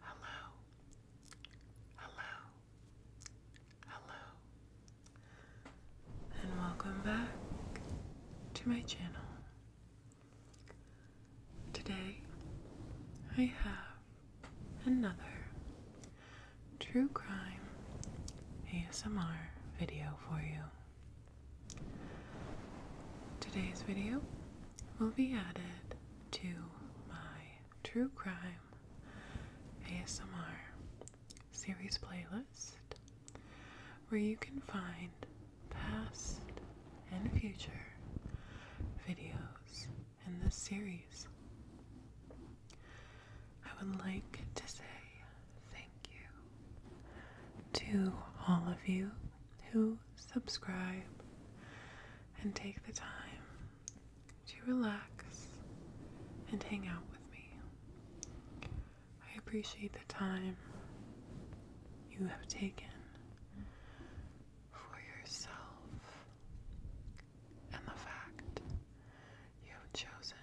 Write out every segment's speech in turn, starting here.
Hello. Hello. Hello. And welcome back to my channel. Today I have another true crime ASMR video for you. Today's video will be added to my True Crime ASMR series playlist where you can find past and future videos in this series. I would like to say thank you to all of you who subscribe and take the time to relax and hang out with me. I appreciate the time you have taken for yourself and the fact you have chosen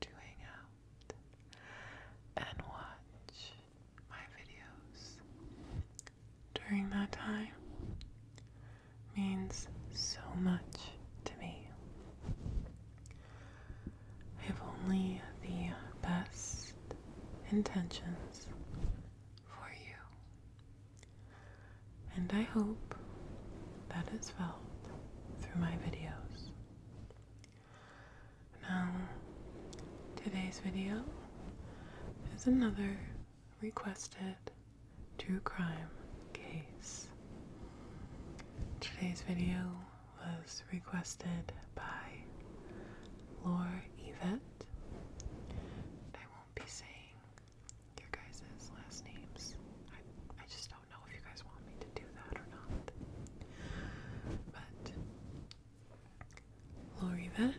to hang out and watch my videos during that time means so much to me. I have only the best intentions for you, and I hope that is felt through my videos. Now, today's video is another requested true crime case. Today's video was requested by Laura Yvette. I won't be saying your guys' last names. I, I just don't know if you guys want me to do that or not. But Lori Vett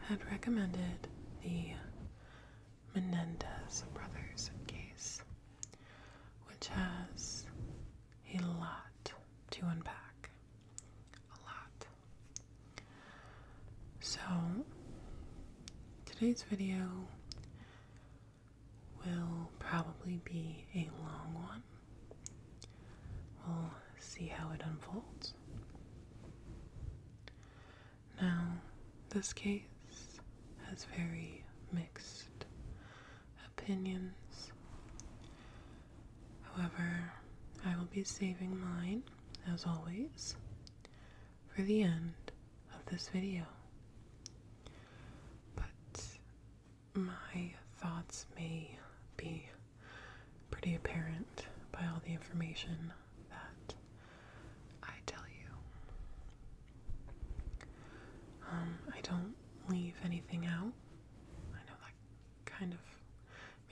had recommended the Menendez brothers case, which has a lot to unpack. A lot. So, today's video will probably be a long one. We'll see how it unfolds. Now, this case has very mixed opinions. However, I will be saving mine, as always, for the end of this video. But my thoughts may be pretty apparent by all the information that I tell you. Um, I don't leave anything out. I know that kind of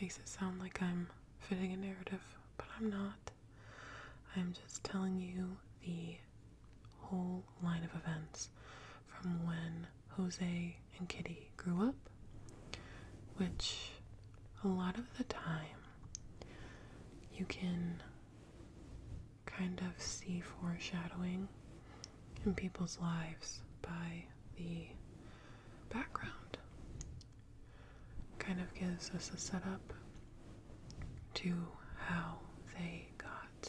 makes it sound like I'm fitting a narrative, but I'm not. I'm just telling you the whole line of events from when Jose and Kitty grew up, which a lot of the time you can kind of see foreshadowing in people's lives by the background. Kind of gives us a setup to how they got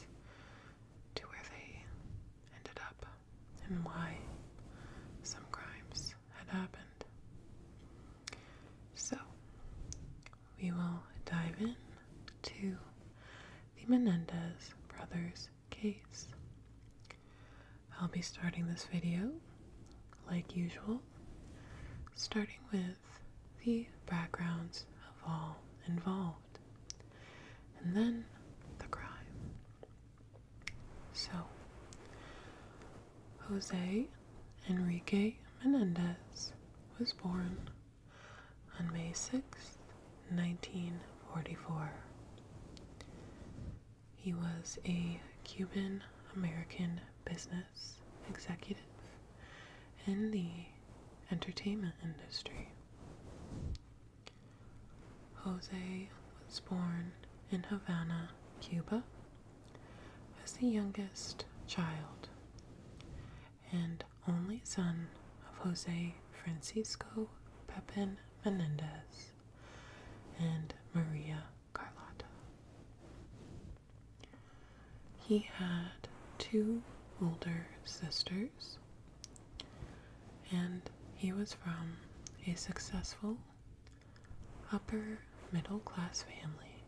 to where they ended up and why some crimes had happened. So, we will dive in to the Menendez brothers case. I'll be starting this video, like usual, starting with the backgrounds of all involved, and then the crime. So, Jose Enrique Menendez was born on May 6, 1944. He was a Cuban American business executive in the entertainment industry. Jose was born in Havana, Cuba, as the youngest child and only son of Jose Francisco Pepin Menendez and Maria Carlotta. He had two older sisters and he was from a successful upper middle class family.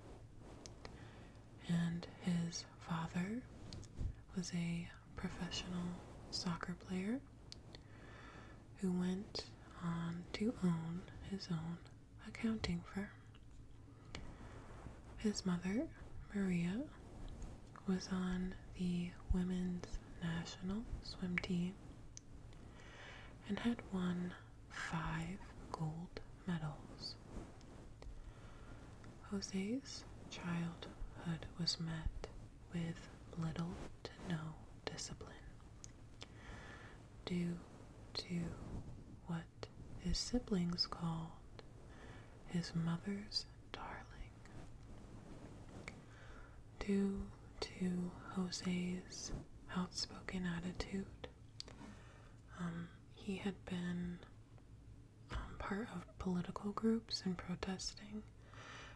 And his father was a professional soccer player who went on to own his own accounting firm. His mother, Maria, was on the women's national swim team and had won five gold medals. Jose's childhood was met with little to no discipline due to what his siblings called his mother's darling. Due to Jose's outspoken attitude, um, he had been um, part of political groups and protesting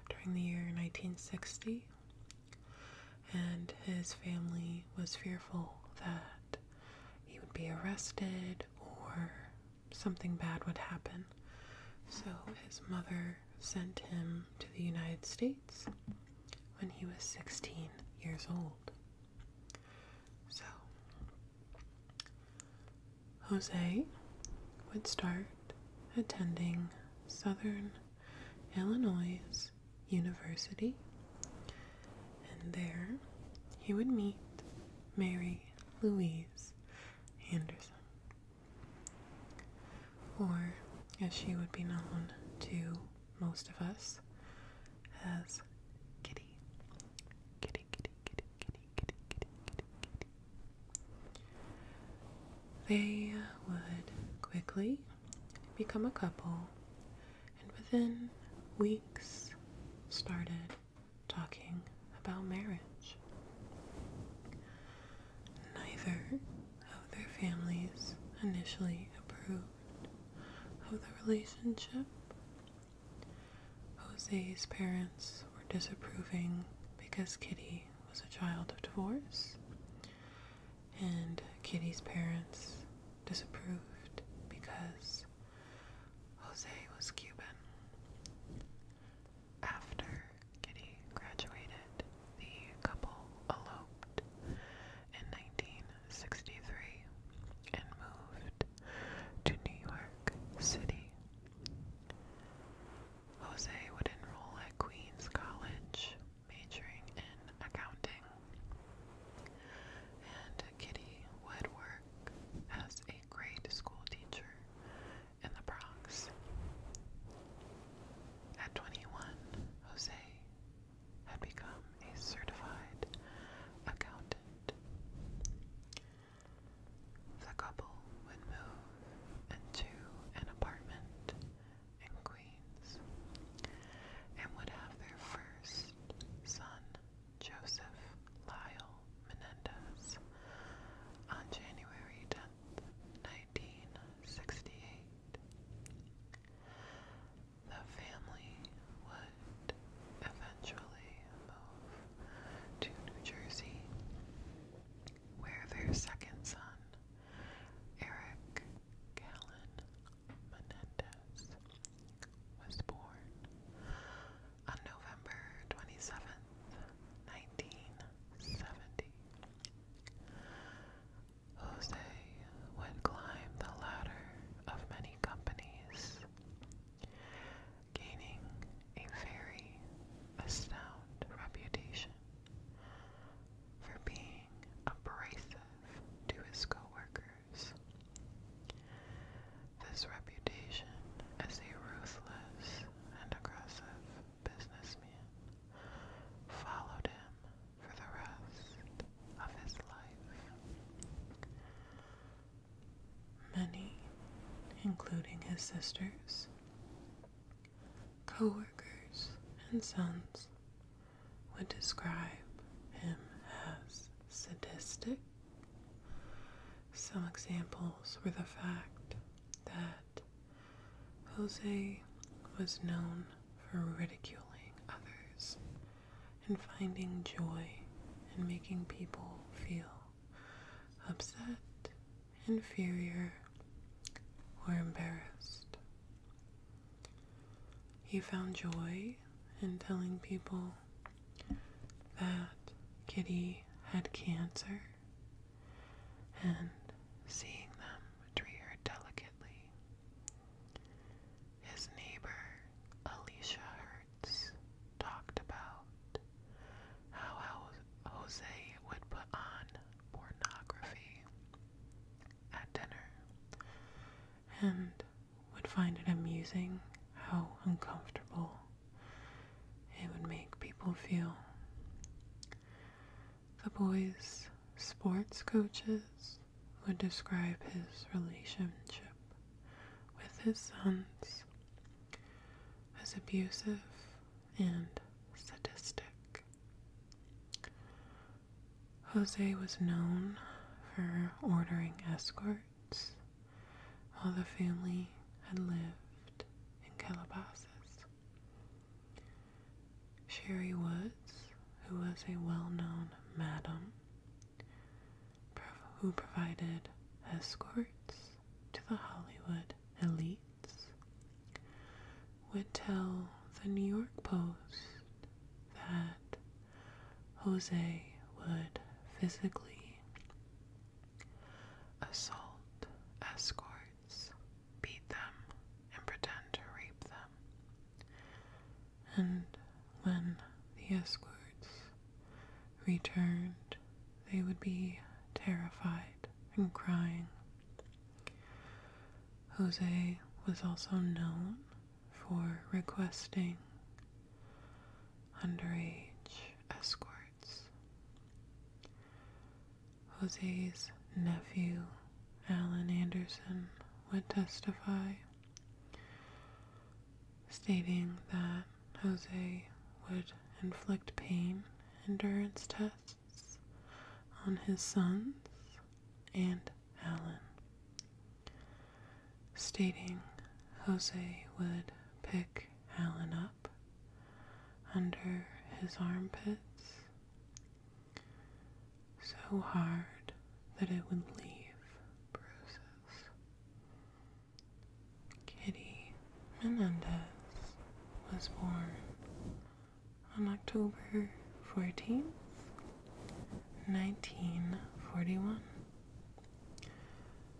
during the year 1960, and his family was fearful that he would be arrested or something bad would happen. So his mother sent him to the United States when he was 16 years old. So, Jose would start attending Southern Illinois University, and there he would meet Mary Louise Anderson or as she would be known to most of us as Kitty. Kitty, kitty, kitty, kitty, kitty, kitty, kitty, kitty. They would quickly become a couple and within weeks started talking about marriage. Neither of their families initially approved of the relationship. Jose's parents were disapproving because Kitty was a child of divorce, and Kitty's parents disapproved because Jose was Cuban. After Kitty graduated, the couple eloped in 1963 and moved to New York City. Jose would enroll at Queens College, majoring in accounting, and Kitty would work as a grade school teacher in the Bronx. At 21, Jose had become a certified accountant. The couple would move into an apartment in Queens and would have their first son, Joseph Lyle Menendez, on January 10, 10th, 1968. The family would eventually move to New Jersey, where their second son, Eric Callan Menendez, was born on November 27, 1970. Jose would climb the ladder of many companies, gaining a very astound reputation for being abrasive to his co-workers. This reputation as a ruthless and aggressive businessman followed him for the rest of his life. Many, including his sisters, coworkers, and sons, would describe him as sadistic. Some examples were the fact that Jose was known for ridiculing others and finding joy in making people feel upset, inferior, or embarrassed. He found joy in telling people that Kitty had cancer and seeing them treat her delicately. His neighbor, Alicia Hertz, talked about how Jose would put on pornography at dinner and would find it amusing how uncomfortable it would make people feel. The boy's sports coaches would describe his relationship with his sons as abusive and sadistic. Jose was known for ordering escorts while the family had lived in Calabasas. Sherry Woods, who was a well known madam, who provided escorts to the Hollywood elites, would tell the New York Post that Jose would physically assault, escorts beat them, and pretend to rape them. And when the escorts returned, they would be terrified and crying. Jose was also known for requesting underage escorts. Jose's nephew, Alan Anderson, would testify, stating that Jose would inflict pain endurance tests on his sons and Alan, stating Jose would pick Alan up under his armpits so hard that it would leave bruises. Kitty Menendez was born on October 14th, 1941.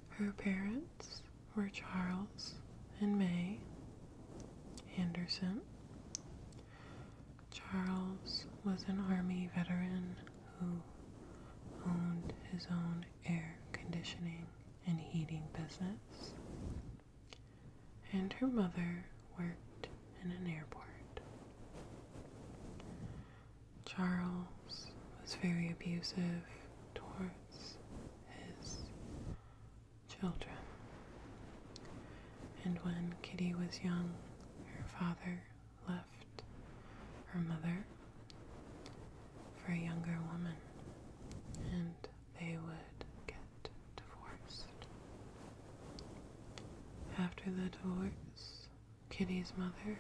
Her parents were Charles and May Anderson. Charles was an Army veteran who owned his own air conditioning and heating business, and her mother worked in an airport. Charles was very abusive towards his children. And when Kitty was young, her father left her mother for a younger woman, and they would get divorced. After the divorce, Kitty's mother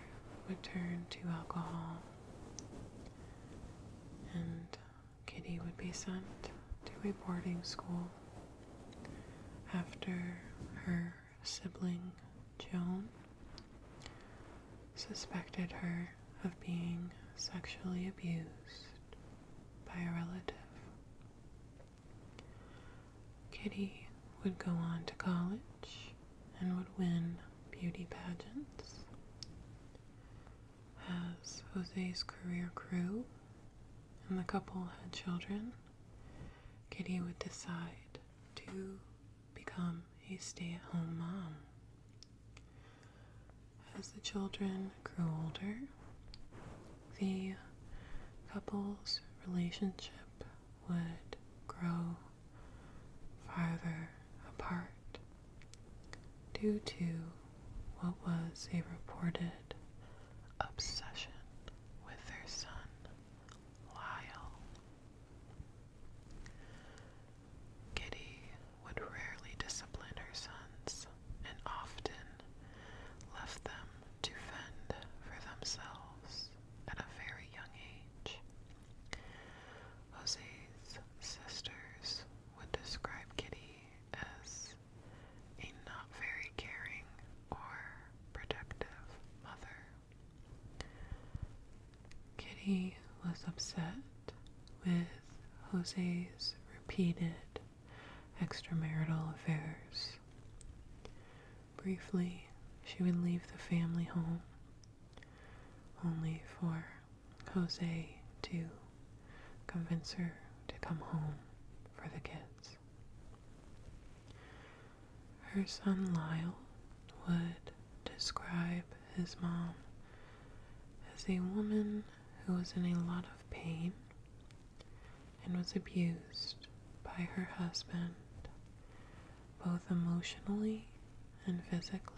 would turn to alcohol and Kitty would be sent to a boarding school after her sibling Joan suspected her of being sexually abused by a relative. Kitty would go on to college and would win beauty pageants as Jose's career grew and the couple had children, Kitty would decide to become a stay at home mom. As the children grew older, the couple's relationship would grow farther apart due to what was a reported obsession with their son, Lyle. Kitty would rarely discipline her sons and often left them to fend for themselves at a very young age. Jose's sisters would describe Kitty as a not very caring or protective mother. Kitty was upset with Jose's repeated extramarital affairs. Briefly, she would leave the family home only for Jose to convince her to come home for the kids. Her son Lyle would describe his mom as a woman who was in a lot of pain and was abused by her husband both emotionally and physically.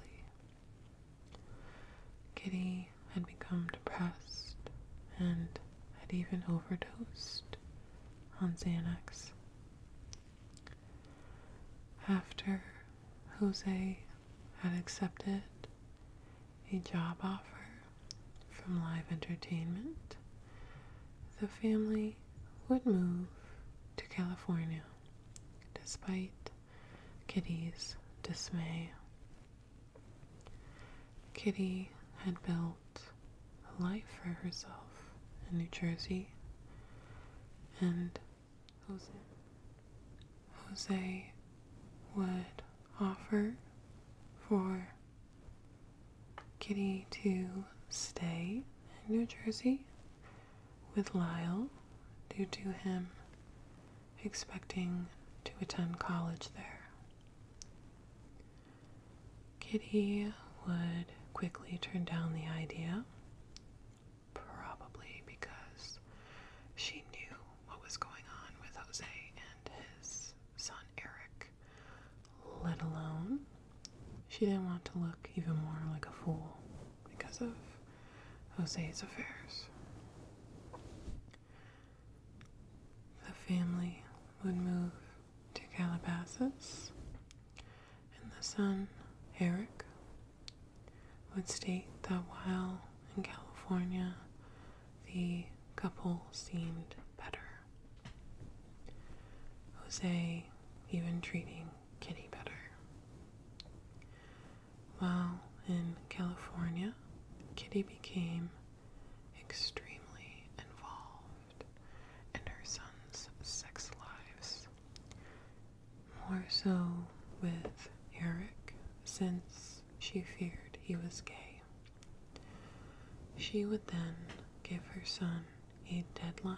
Kitty had become depressed and had even overdosed on Xanax. After Jose had accepted a job offer from live entertainment, the family would move to California despite Kitty's dismay. Kitty had built a life for herself in New Jersey, and Jose, Jose would offer for Kitty to stay in New Jersey with Lyle due to him expecting to attend college there. Kitty would quickly turn down the idea, probably because she knew what was going on with Jose and his son Eric, let alone she didn't want to look even more like a fool because of Jose's affairs. The family would move to Calabasas, and the son, Eric, would state that while in California, the couple seemed better. Jose even treating Kitty better. While in California, Kitty became extremely involved in her son's sex lives, more so with Eric since she feared he was gay. She would then give her son a deadline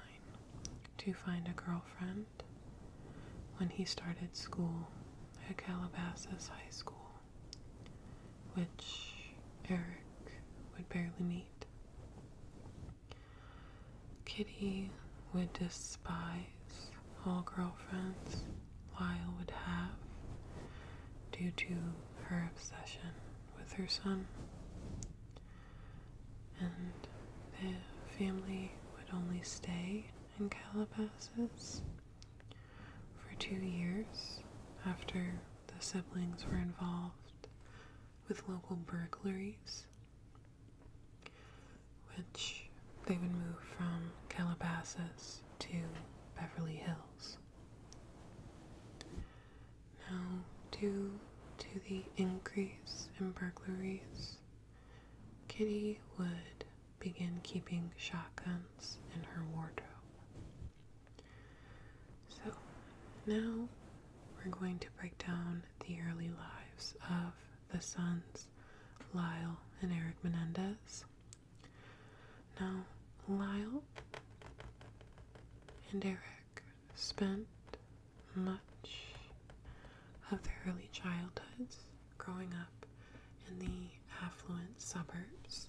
to find a girlfriend when he started school at Calabasas High School, which Eric would barely meet. Kitty would despise all girlfriends Lyle would have due to her obsession with her son. And the family would only stay in Calabasas for two years after the siblings were involved with local burglaries, which they would move from Calabasas to Beverly Hills. Now, due to the increase in burglaries, Kitty would Begin keeping shotguns in her wardrobe. So now we're going to break down the early lives of the sons Lyle and Eric Menendez. Now, Lyle and Eric spent much of their early childhoods growing up in the affluent suburbs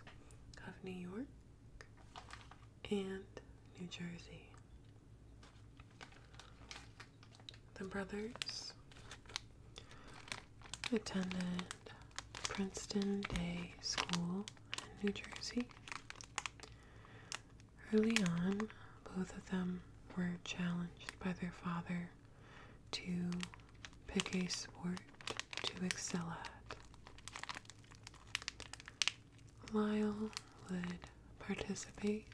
of New York and New Jersey. The brothers attended Princeton Day School in New Jersey. Early on, both of them were challenged by their father to pick a sport to excel at. Lyle would participate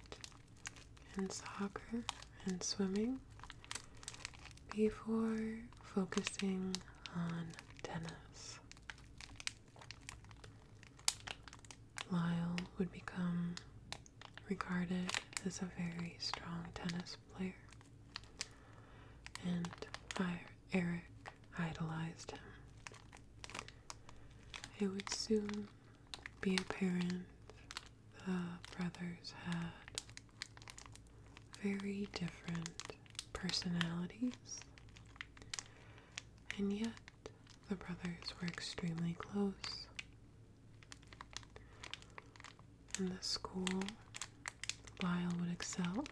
in soccer and swimming before focusing on tennis. Lyle would become regarded as a very strong tennis player, and Eric idolized him. It would soon be apparent the brothers had very different personalities, and yet the brothers were extremely close in the school, Lyle would excel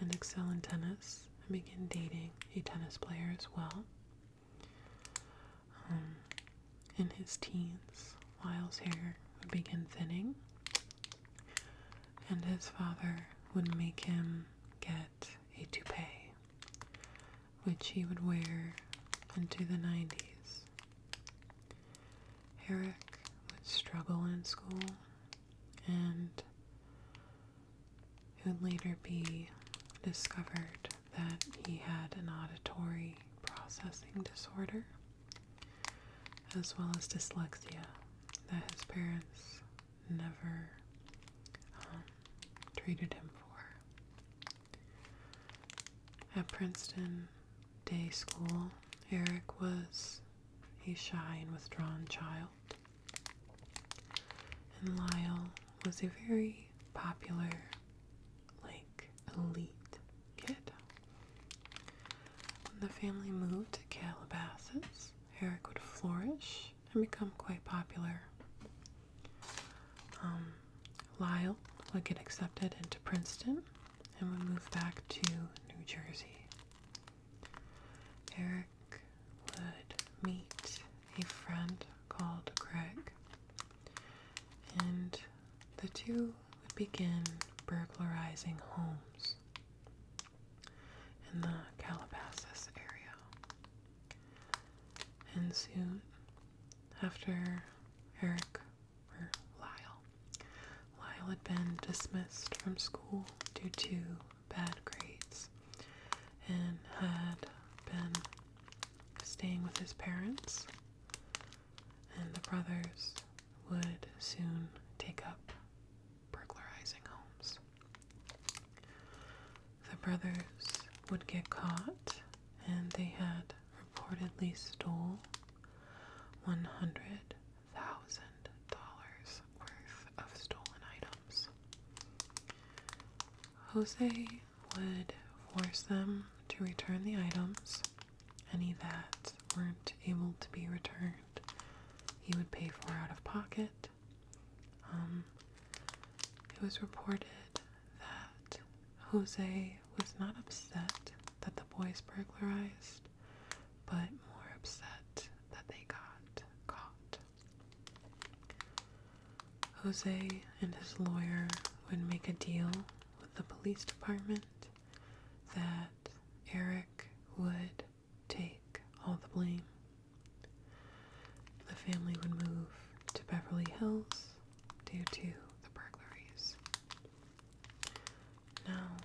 and excel in tennis and begin dating a tennis player as well. Um, in his teens, Lyle's hair would begin thinning, and his father would make him get a toupee, which he would wear into the 90s. Herrick would struggle in school and it would later be discovered that he had an auditory processing disorder as well as dyslexia that his parents never um, treated him for. At Princeton Day School, Eric was a shy and withdrawn child, and Lyle was a very popular, like, elite kid. When the family moved to Calabasas, Eric would flourish and become quite popular. Um, Lyle would get accepted into Princeton and would move back to New Jersey. Eric would meet a friend called Greg, and the two would begin burglarizing homes in the Calabasas area. And soon after Eric or Lyle. Lyle had been dismissed from school due to bad grades and had been staying with his parents, and the brothers would soon take up burglarizing homes. The brothers would get caught, and they had reportedly stole $100,000 worth of stolen items. Jose would force them to return the items, any that weren't able to be returned. He would pay for out of pocket. Um, it was reported that Jose was not upset that the boys burglarized, but more upset that they got caught. Jose and his lawyer would make a deal with the police department that Eric would take all the blame. The family would move to Beverly Hills due to the burglaries. Now,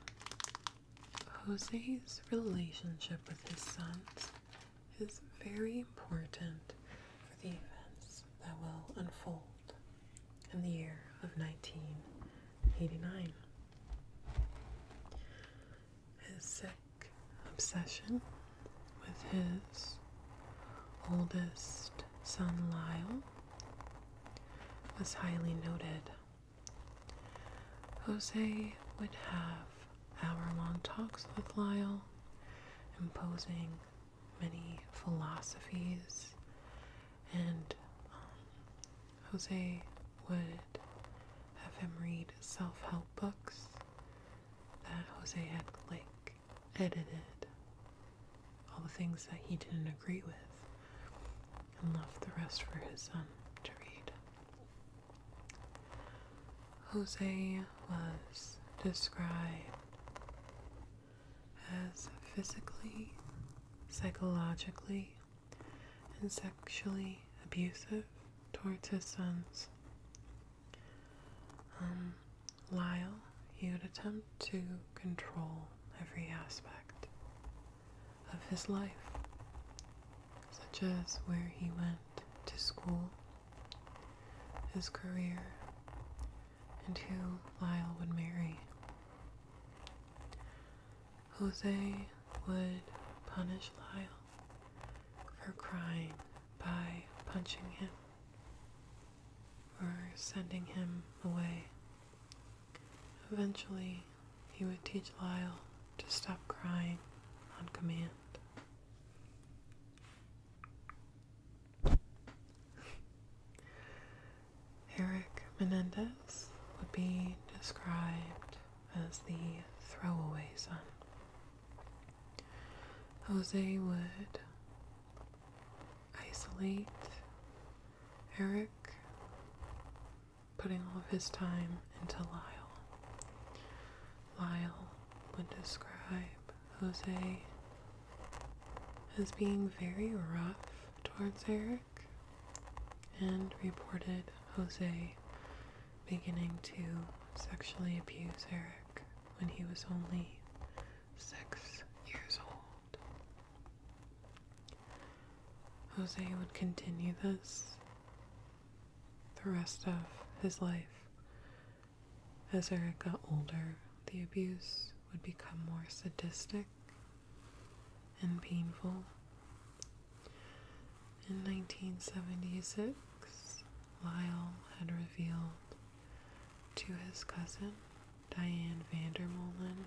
Jose's relationship with his sons is very important for the events that will unfold in the year of 1989. His sick obsession with his oldest son Lyle was highly noted. Jose would have hour long talks with Lyle, imposing many philosophies, and um, Jose would have him read self help books that Jose had like edited all the things that he didn't agree with, and left the rest for his son to read. Jose was described as physically, psychologically, and sexually abusive towards his sons. Um, Lyle, you'd attempt to control every aspect of his life, such as where he went to school, his career, and who Lyle would marry. Jose would punish Lyle for crying by punching him or sending him away Eventually, he would teach Lyle to stop crying on command. Eric Menendez would be described as the throwaway son. Jose would isolate Eric putting all of his time into Lyle. Lyle would describe Jose as being very rough towards Eric and reported Jose beginning to sexually abuse Eric when he was only six years old. Jose would continue this the rest of his life. As Eric got older, the abuse would become more sadistic and painful. In 1976, Lyle had revealed to his cousin Diane Vandermolen,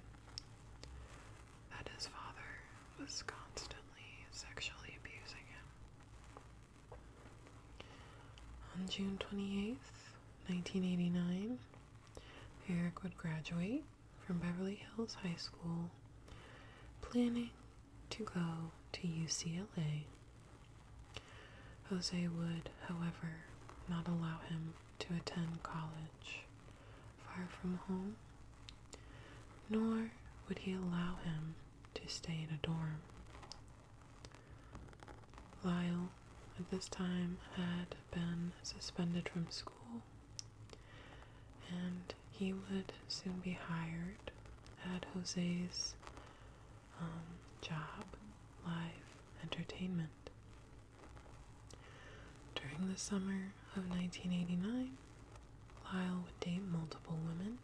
that his father was constantly sexually abusing him. On June 28th, 1989, Eric would graduate from Beverly Hills High School, planning to go to UCLA. Jose would, however, not allow him to attend college far from home, nor would he allow him to stay in a dorm. Lyle, at this time, had been suspended from school, and he would soon be hired at Jose's um, job, live entertainment. During the summer of 1989, Lyle would date multiple women.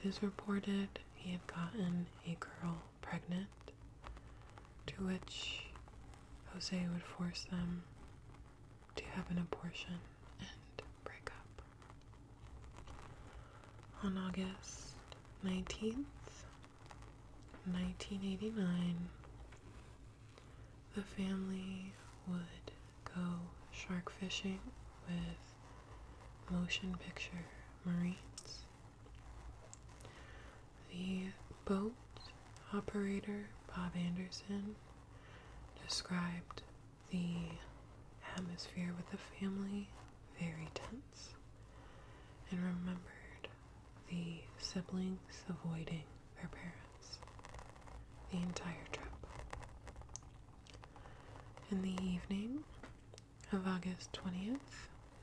It is reported he had gotten a girl pregnant, to which Jose would force them to have an abortion and break up. On August 19th, 1989, the family would go shark fishing with motion picture marines. The boat operator, Bob Anderson, described the atmosphere with the family very tense and remembered the siblings avoiding their parents the entire trip. In the evening of August 20th,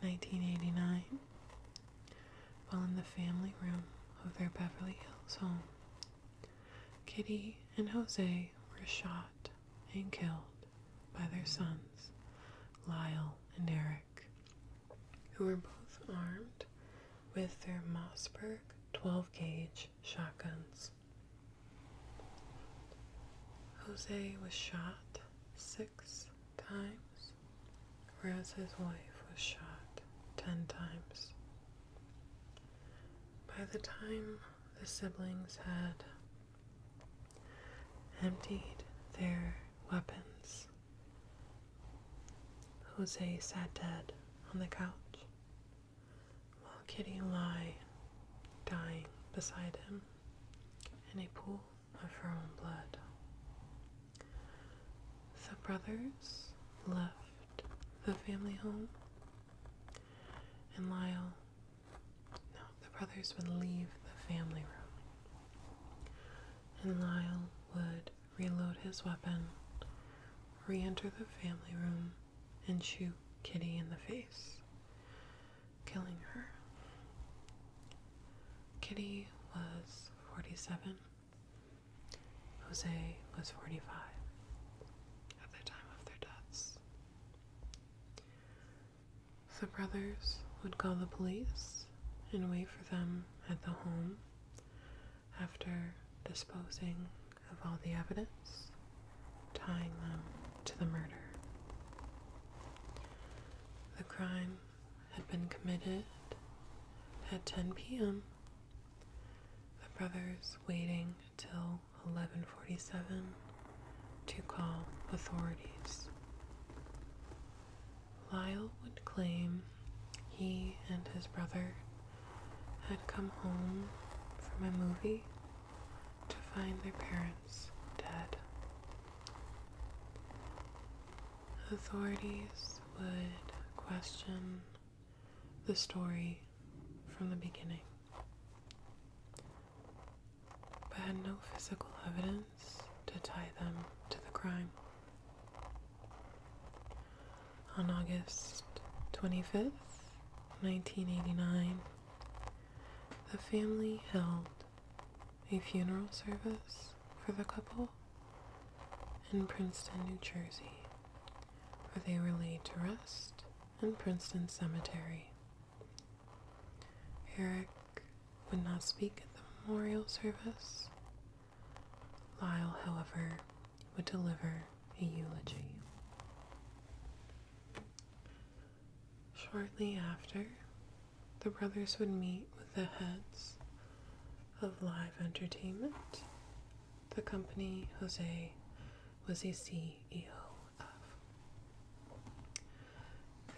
1989, while in the family room of their Beverly Hills home, Kitty and Jose were shot and killed by their sons, Lyle and Eric who were both armed with their Mossberg 12 gauge shotguns. Jose was shot six times, whereas his wife was shot ten times. By the time the siblings had emptied their weapons. Jose sat dead on the couch, while Kitty lay dying beside him in a pool of her own blood. The brothers left the family home, and Lyle, the brothers would leave the family room, and Lyle would reload his weapon, re enter the family room, and shoot Kitty in the face, killing her. Kitty was 47. Jose was 45 at the time of their deaths. The brothers would call the police and wait for them at the home after disposing of all the evidence, tying them to the murder. The crime had been committed at 10 p.m. The brothers waiting till 11:47 to call authorities. Lyle would claim he and his brother had come home from a movie to find their parents dead. Authorities would question the story from the beginning but had no physical evidence to tie them to the crime. On August 25th, 1989, the family held a funeral service for the couple in Princeton, New Jersey, where they were laid to rest in Princeton Cemetery. Eric would not speak at the memorial service. Lyle, however, would deliver a eulogy. Shortly after, the brothers would meet with the heads of live entertainment, the company Jose was a CEO of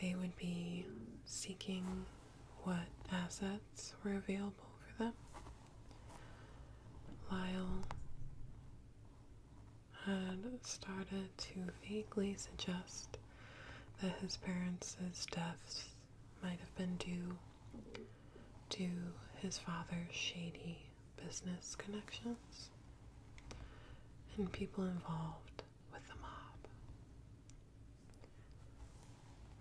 they would be seeking what assets were available for them. Lyle had started to vaguely suggest that his parents' deaths might have been due to his father's shady business connections and people involved with the mob.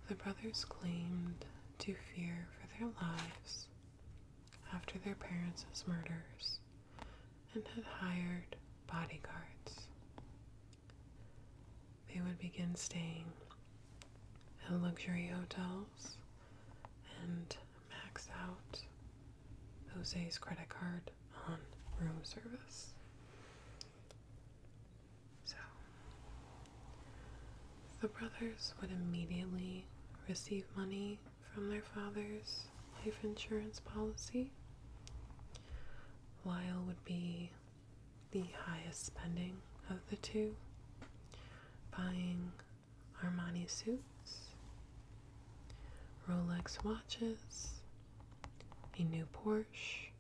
The brothers claimed to fear for their lives after their parents' murders and had hired bodyguards. They would begin staying at luxury hotels and max out Jose's credit card on room service. So, the brothers would immediately receive money from their father's life insurance policy. Lyle would be the highest spending of the two, buying Armani suits, Rolex watches, a new Porsche,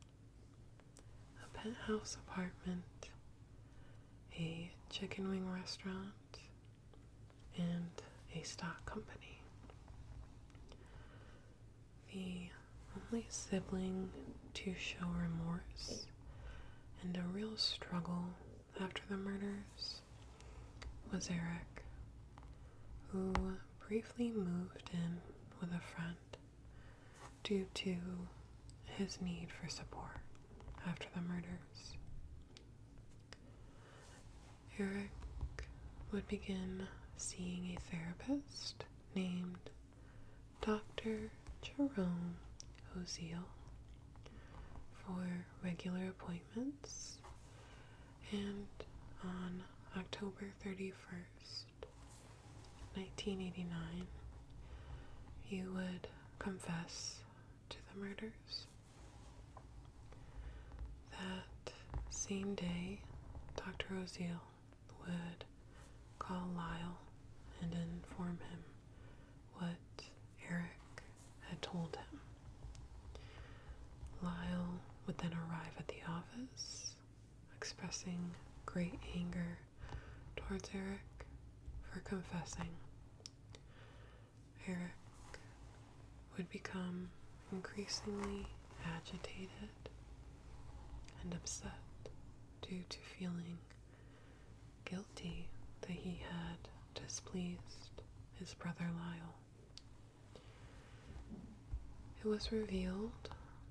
a penthouse apartment, a chicken wing restaurant, and a stock company. The only sibling to show remorse and a real struggle after the murders was Eric, who briefly moved in with a friend due to his need for support after the murders. Eric would begin seeing a therapist named Dr. Jerome Oziel for regular appointments, and on October 31st, 1989, you would confess to the murders. That same day, Dr. Oziel would call Lyle and inform him what Eric had told him. Lyle would then arrive at the office expressing great anger towards Eric for confessing. Eric would become increasingly agitated and upset due to feeling guilty that he had displeased his brother Lyle. It was revealed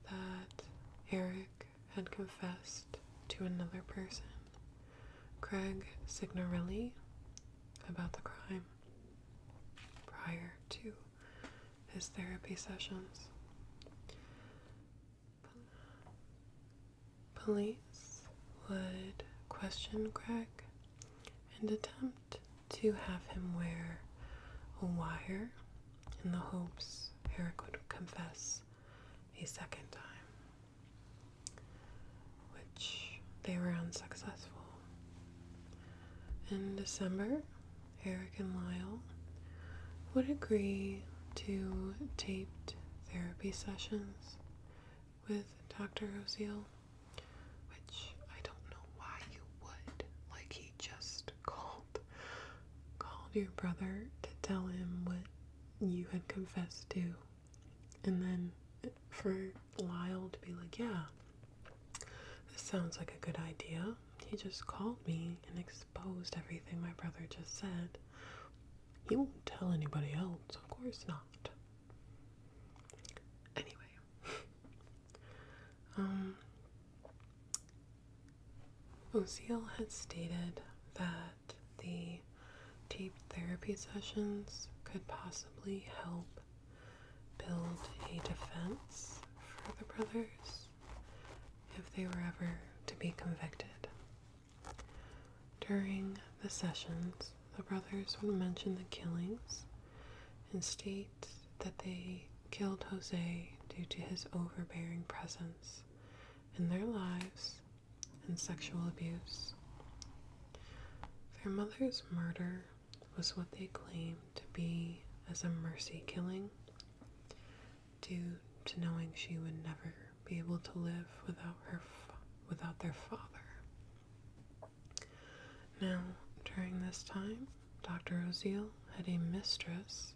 that Eric had confessed to another person, Craig Signorelli, about the crime prior to his therapy sessions. Police would question Craig and attempt to have him wear a wire in the hopes Eric would confess a second time, which they were unsuccessful. In December, Eric and Lyle would agree to taped therapy sessions with Dr. Oziel, which I don't know why you would. Like, he just called called your brother to tell him what you had confessed to and then for Lyle to be like, yeah, this sounds like a good idea. He just called me and exposed everything my brother just said. He won't tell anybody else, of course not. Anyway, Oziel um, had stated that the taped therapy sessions could possibly help build a defense for the brothers if they were ever to be convicted. During the sessions, the brothers would mention the killings and state that they killed Jose due to his overbearing presence in their lives and sexual abuse. Their mother's murder was what they claim to be as a mercy killing due to knowing she would never be able to live without her without their father. Now, during this time, Dr. Oziel had a mistress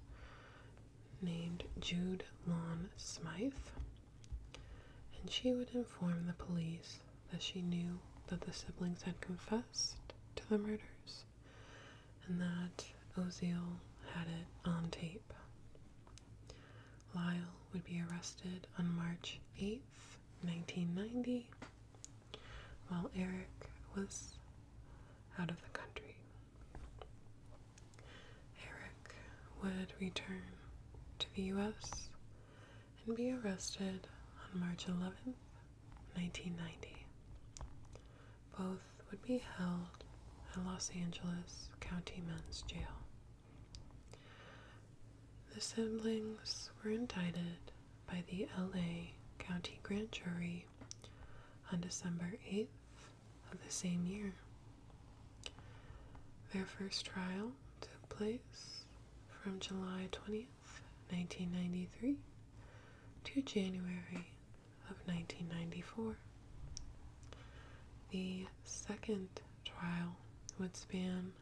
named Jude Lawn Smythe, and she would inform the police that she knew that the siblings had confessed to the murders and that Oziel had it on tape. Lyle would be arrested on March 8th, 1990, while Eric was out of the country. Eric would return to the US and be arrested on March 11th, 1990. Both would be held at Los Angeles County Men's Jail. The siblings were indicted by the LA County Grand Jury on December 8th of the same year. Their first trial took place from July 20th, 1993 to January of 1994. The second trial would span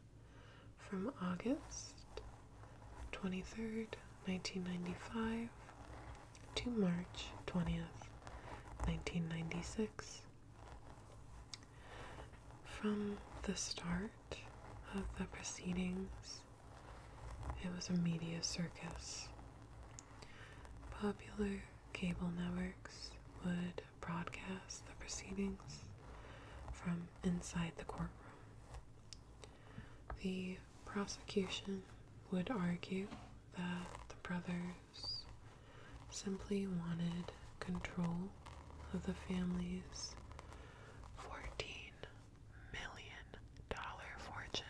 from August 23rd, 1995 to March 20th, 1996. From the start of the proceedings, it was a media circus. Popular cable networks would broadcast the proceedings from inside the courtroom. The prosecution would argue that the brothers simply wanted control of the family's $14 million fortune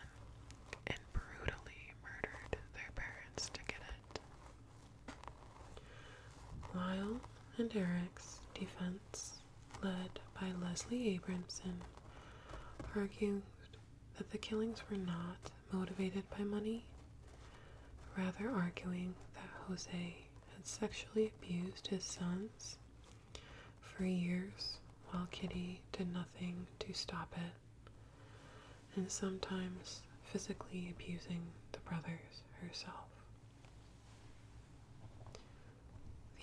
and brutally murdered their parents to get it. Lyle and Eric's defense led by Leslie Abramson, argued that the killings were not motivated by money, rather, arguing that Jose had sexually abused his sons for years while Kitty did nothing to stop it, and sometimes physically abusing the brothers herself.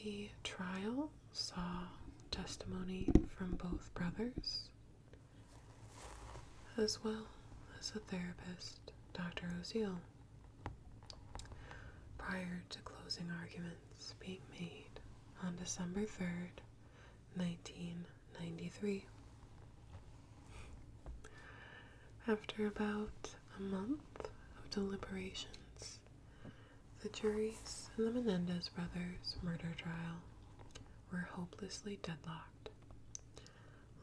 The trial saw testimony from both brothers, as well as a therapist, Dr. Oziel, prior to closing arguments being made on December 3rd, 1993. After about a month of deliberations, the juries in the Menendez brothers' murder trial were hopelessly deadlocked.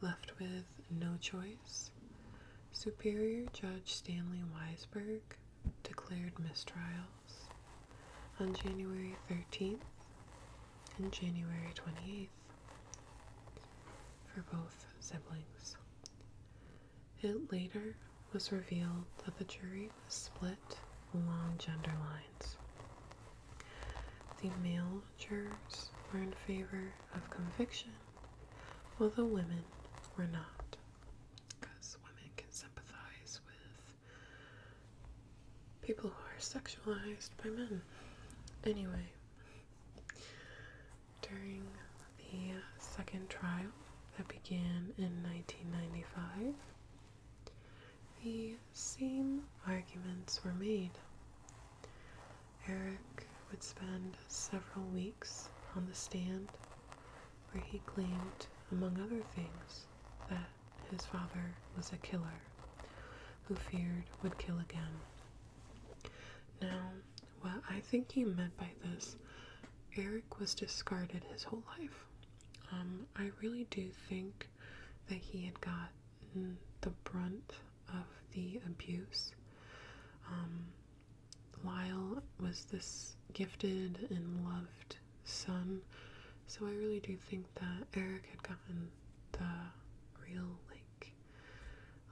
Left with no choice, Superior Judge Stanley Weisberg declared mistrials on January 13th and January 28th for both siblings. It later was revealed that the jury was split along gender lines. The male jurors were in favor of conviction, while the women were not, because women can sympathize with people who are sexualized by men. Anyway, during the second trial that began in 1995, the same arguments were made. Eric would spend several weeks on the stand where he claimed, among other things, that his father was a killer who feared would kill again. Now, well, I think he meant by this, Eric was discarded his whole life. Um, I really do think that he had got the brunt of the abuse. Um, Lyle was this gifted and loved son, so I really do think that Eric had gotten the real, like,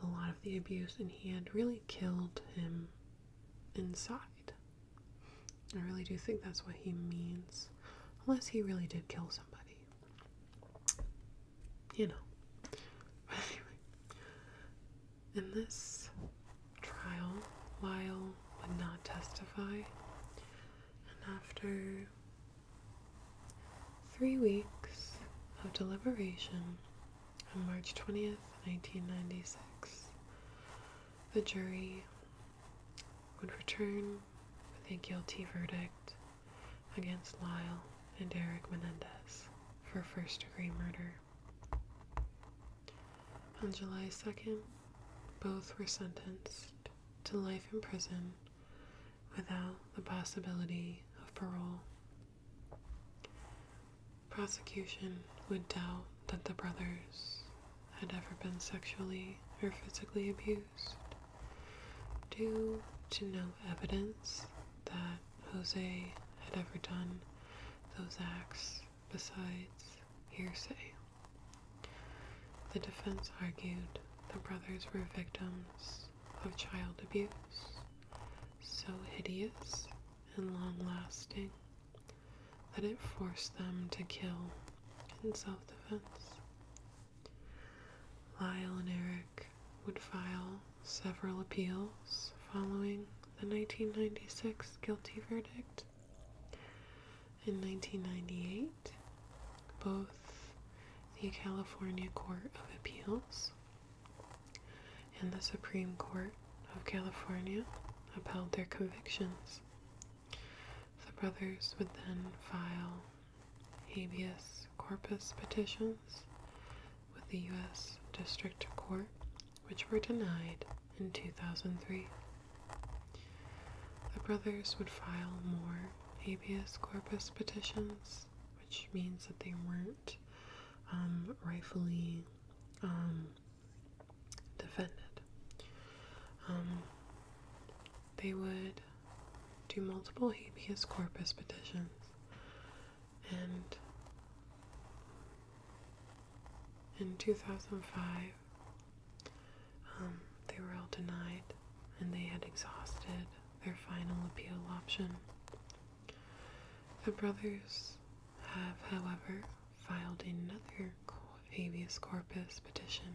a lot of the abuse, and he had really killed him inside. I really do think that's what he means. Unless he really did kill somebody. You know. But anyway. In this trial, Lyle would not testify. And after three weeks of deliberation, on March 20th, 1996. The jury would return with a guilty verdict against Lyle and Eric Menendez for first degree murder. On July 2nd, both were sentenced to life in prison without the possibility of parole. Prosecution would doubt that the brothers had ever been sexually or physically abused due to no evidence that Jose had ever done those acts besides hearsay. The defense argued the brothers were victims of child abuse, so hideous and long lasting that it forced them to kill in self defense. Lyle and Eric would file several appeals following the 1996 guilty verdict. In 1998, both the California Court of Appeals and the Supreme Court of California upheld their convictions. The brothers would then file habeas corpus petitions with the U.S. District Court, which were denied in 2003. The brothers would file more habeas corpus petitions, which means that they weren't um, rightfully um, defended. Um, they would do multiple habeas corpus petitions and in 2005 um, they were all denied and they had exhausted their final appeal option the brothers have, however, filed another habeas corpus petition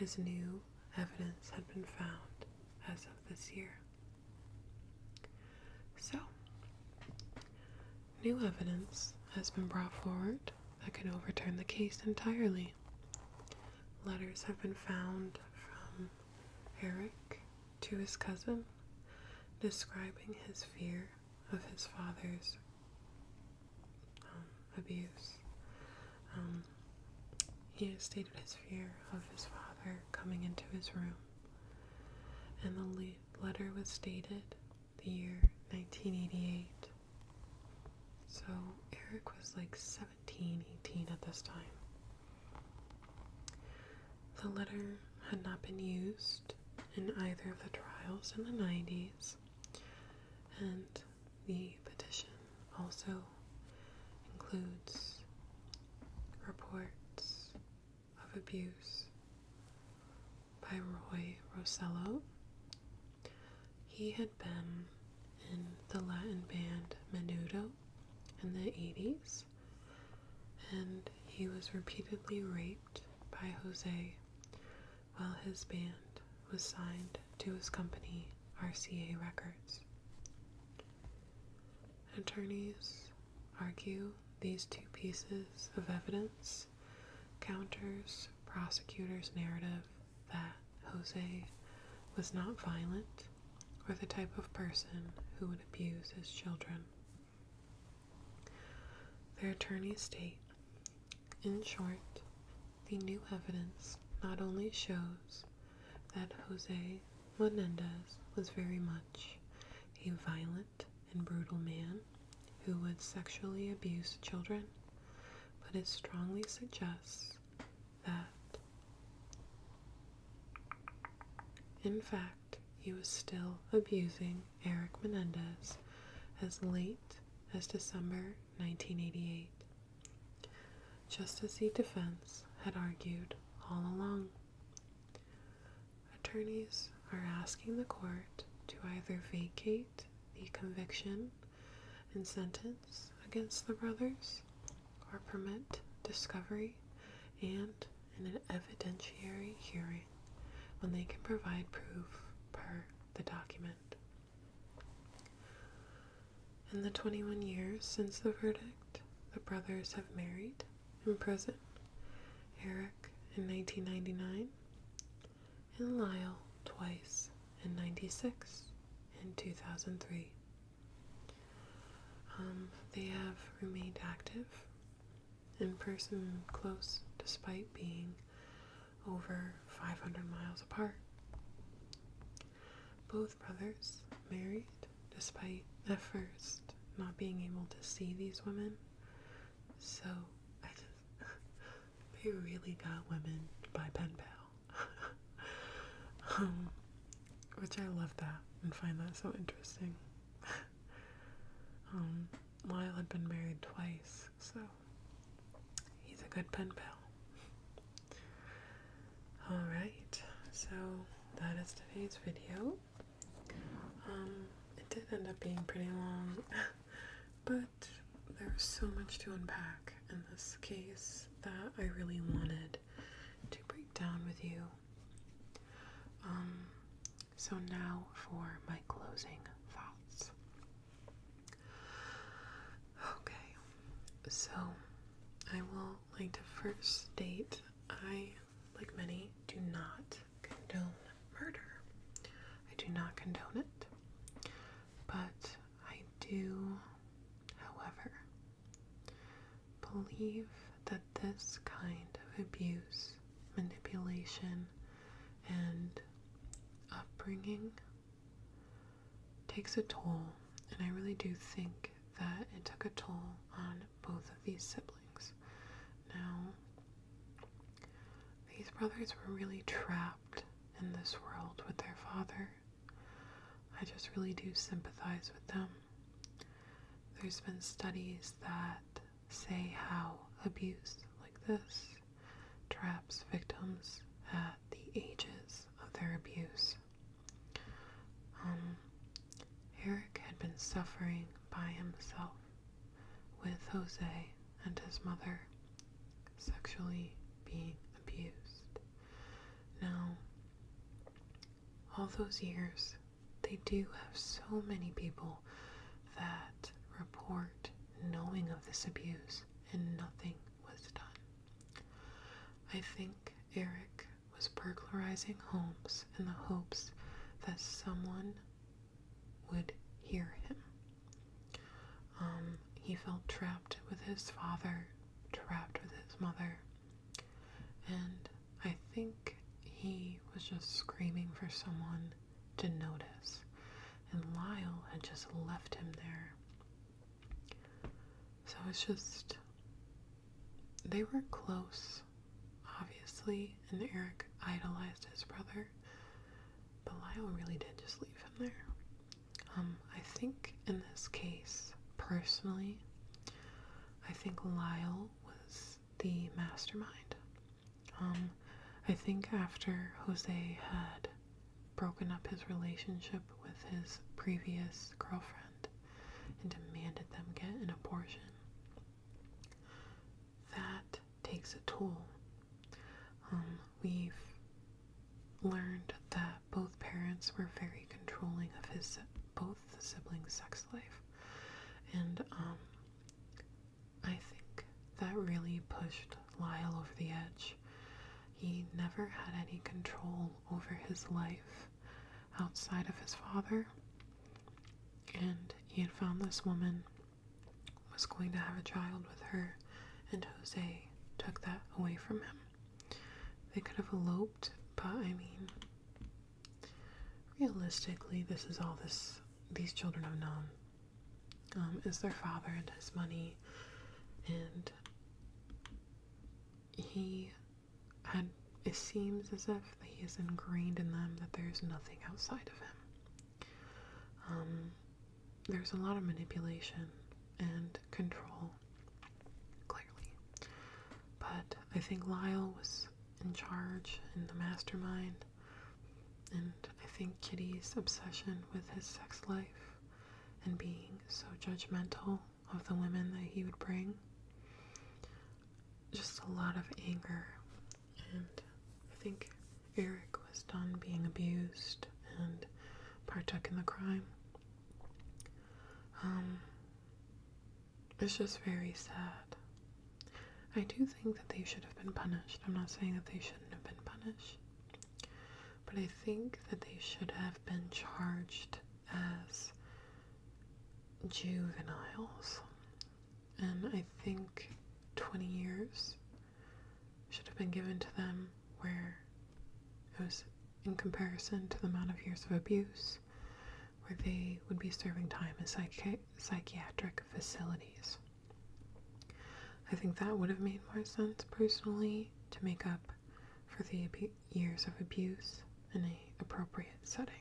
as new evidence had been found as of this year. So, new evidence has been brought forward that can overturn the case entirely. Letters have been found from Eric to his cousin describing his fear of his father's um, abuse. Um, he stated his fear of his father coming into his room, and the letter was dated the year 1988. So Eric was like 17, 18 at this time. The letter had not been used in either of the trials in the 90s, and the petition also includes reports of abuse by Roy Rosello. He had been in the Latin band Menudo in the 80s and he was repeatedly raped by Jose while his band was signed to his company, RCA Records. Attorneys argue these two pieces of evidence counters prosecutors' narrative that Jose was not violent or the type of person who would abuse his children. Their attorneys state, in short, the new evidence not only shows that Jose Menendez was very much a violent and brutal man who would sexually abuse children, but it strongly suggests that, in fact, he was still abusing Eric Menendez as late as December 1988, just as the defense had argued all along. Attorneys are asking the court to either vacate the conviction and sentence against the brothers or permit discovery and in an evidentiary hearing when they can provide proof per the document. In the 21 years since the verdict, the brothers have married in prison, Eric in 1999 and Lyle twice in 96 and 2003. Um, they have remained active in person close despite being over 500 miles apart. Both brothers married despite at first not being able to see these women. So they really got women by pen pal. Um, which I love that and find that so interesting. Um, had been married twice, so he's a good pen pal. Alright, so that is today's video. Um, it did end up being pretty long, but there was so much to unpack in this case that I really wanted to break down with you. Um, so, now for my closing thoughts. Okay, so I will like to first state I, like many, do not condone murder. I do not condone it, but I do, however, believe that this kind of abuse, manipulation, and upbringing takes a toll, and I really do think that it took a toll on both of these siblings. Now, these brothers were really trapped in this world with their father. I just really do sympathize with them. There's been studies that say how abuse like this traps victims at the ages of their abuse. Um, Eric had been suffering by himself with Jose and his mother sexually being abused. Now, all those years they do have so many people that report knowing of this abuse and nothing was done. I think Eric was burglarizing homes in the hopes that someone would hear him. Um, he felt trapped with his father, trapped with his mother, and I think he was just screaming for someone to notice, and Lyle had just left him there. So it's just. They were close, obviously, and Eric idolized his brother, but Lyle really did just leave him there. Um, I think in this case, personally, I think Lyle was the mastermind. Um, I think after Jose had broken up his relationship with his previous girlfriend and demanded them get an abortion, that takes a toll. Um, we've learned that both parents were very controlling of his both siblings' sex life, and um, I think that really pushed Lyle over the edge. He never had any control over his life outside of his father, and he had found this woman was going to have a child with her, and Jose took that away from him. They could have eloped, but I mean, realistically, this is all this these children have known um, is their father and his money, and he had. It seems as if he is ingrained in them that there's nothing outside of him. Um, there's a lot of manipulation and control, clearly. But I think Lyle was in charge and the mastermind. And I think Kitty's obsession with his sex life and being so judgmental of the women that he would bring. Just a lot of anger. And I think Eric was done being abused and partook in the crime. Um, it's just very sad. I do think that they should have been punished. I'm not saying that they shouldn't have been punished. But I think that they should have been charged as juveniles. And I think 20 years should have been given to them, where it was in comparison to the amount of years of abuse where they would be serving time in psychiatric facilities. I think that would have made more sense personally to make up for the years of abuse in an appropriate setting.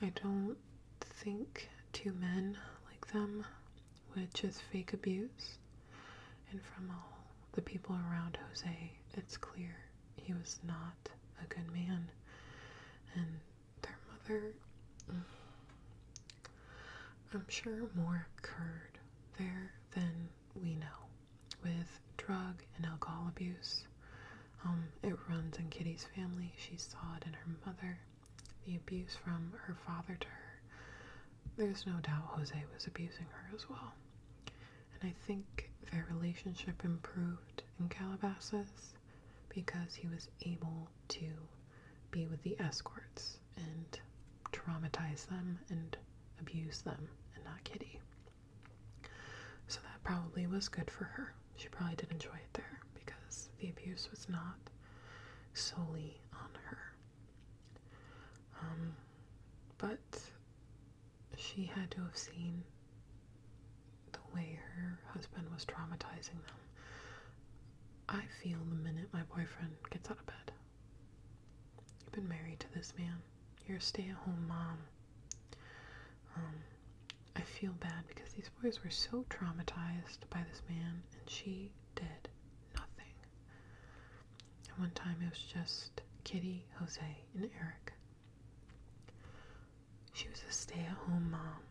I don't think two men like them, would just fake abuse, and from all the people around Jose, it's clear he was not a good man. And their mother, mm, I'm sure, more occurred there than we know with drug and alcohol abuse. Um, it runs in Kitty's family. She saw it in her mother, the abuse from her father to her. There's no doubt Jose was abusing her as well. And I think their relationship improved in Calabasas because he was able to be with the escorts and traumatize them and abuse them and not Kitty. So that probably was good for her. She probably did enjoy it there because the abuse was not solely on her. Um, but she had to have seen the way her husband was traumatizing them. I feel the minute my boyfriend gets out of bed. You've been married to this man. You're a stay at home mom. Um, I feel bad because these boys were so traumatized by this man, and she did nothing. At one time, it was just Kitty, Jose, and Eric. She was a stay at home mom.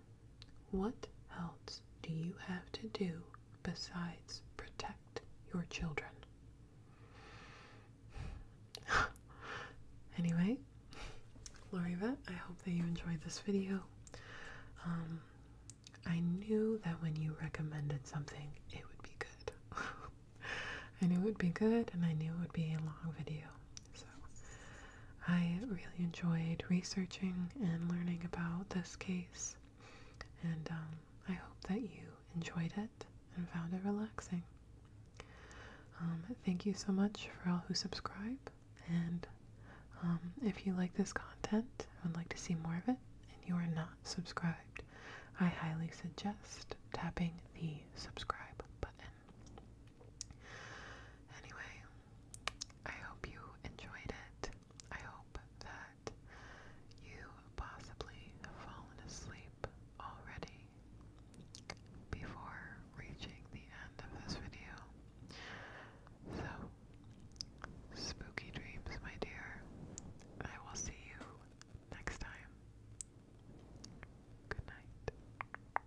What else do you have to do besides protect your children? anyway, Lorivet, I hope that you enjoyed this video. Um, I knew that when you recommended something, it would be good. I knew it would be good, and I knew it would be a long video. So I really enjoyed researching and learning about this case, and um, I hope that you enjoyed it and found it relaxing. Um, thank you so much for all who subscribe, and um, if you like this content and would like to see more of it, and you are not subscribed, I highly suggest tapping the subscribe button. Anyway, I hope you enjoyed it. I hope that you possibly have fallen asleep already before reaching the end of this video. So, spooky dreams, my dear. I will see you next time. Good night.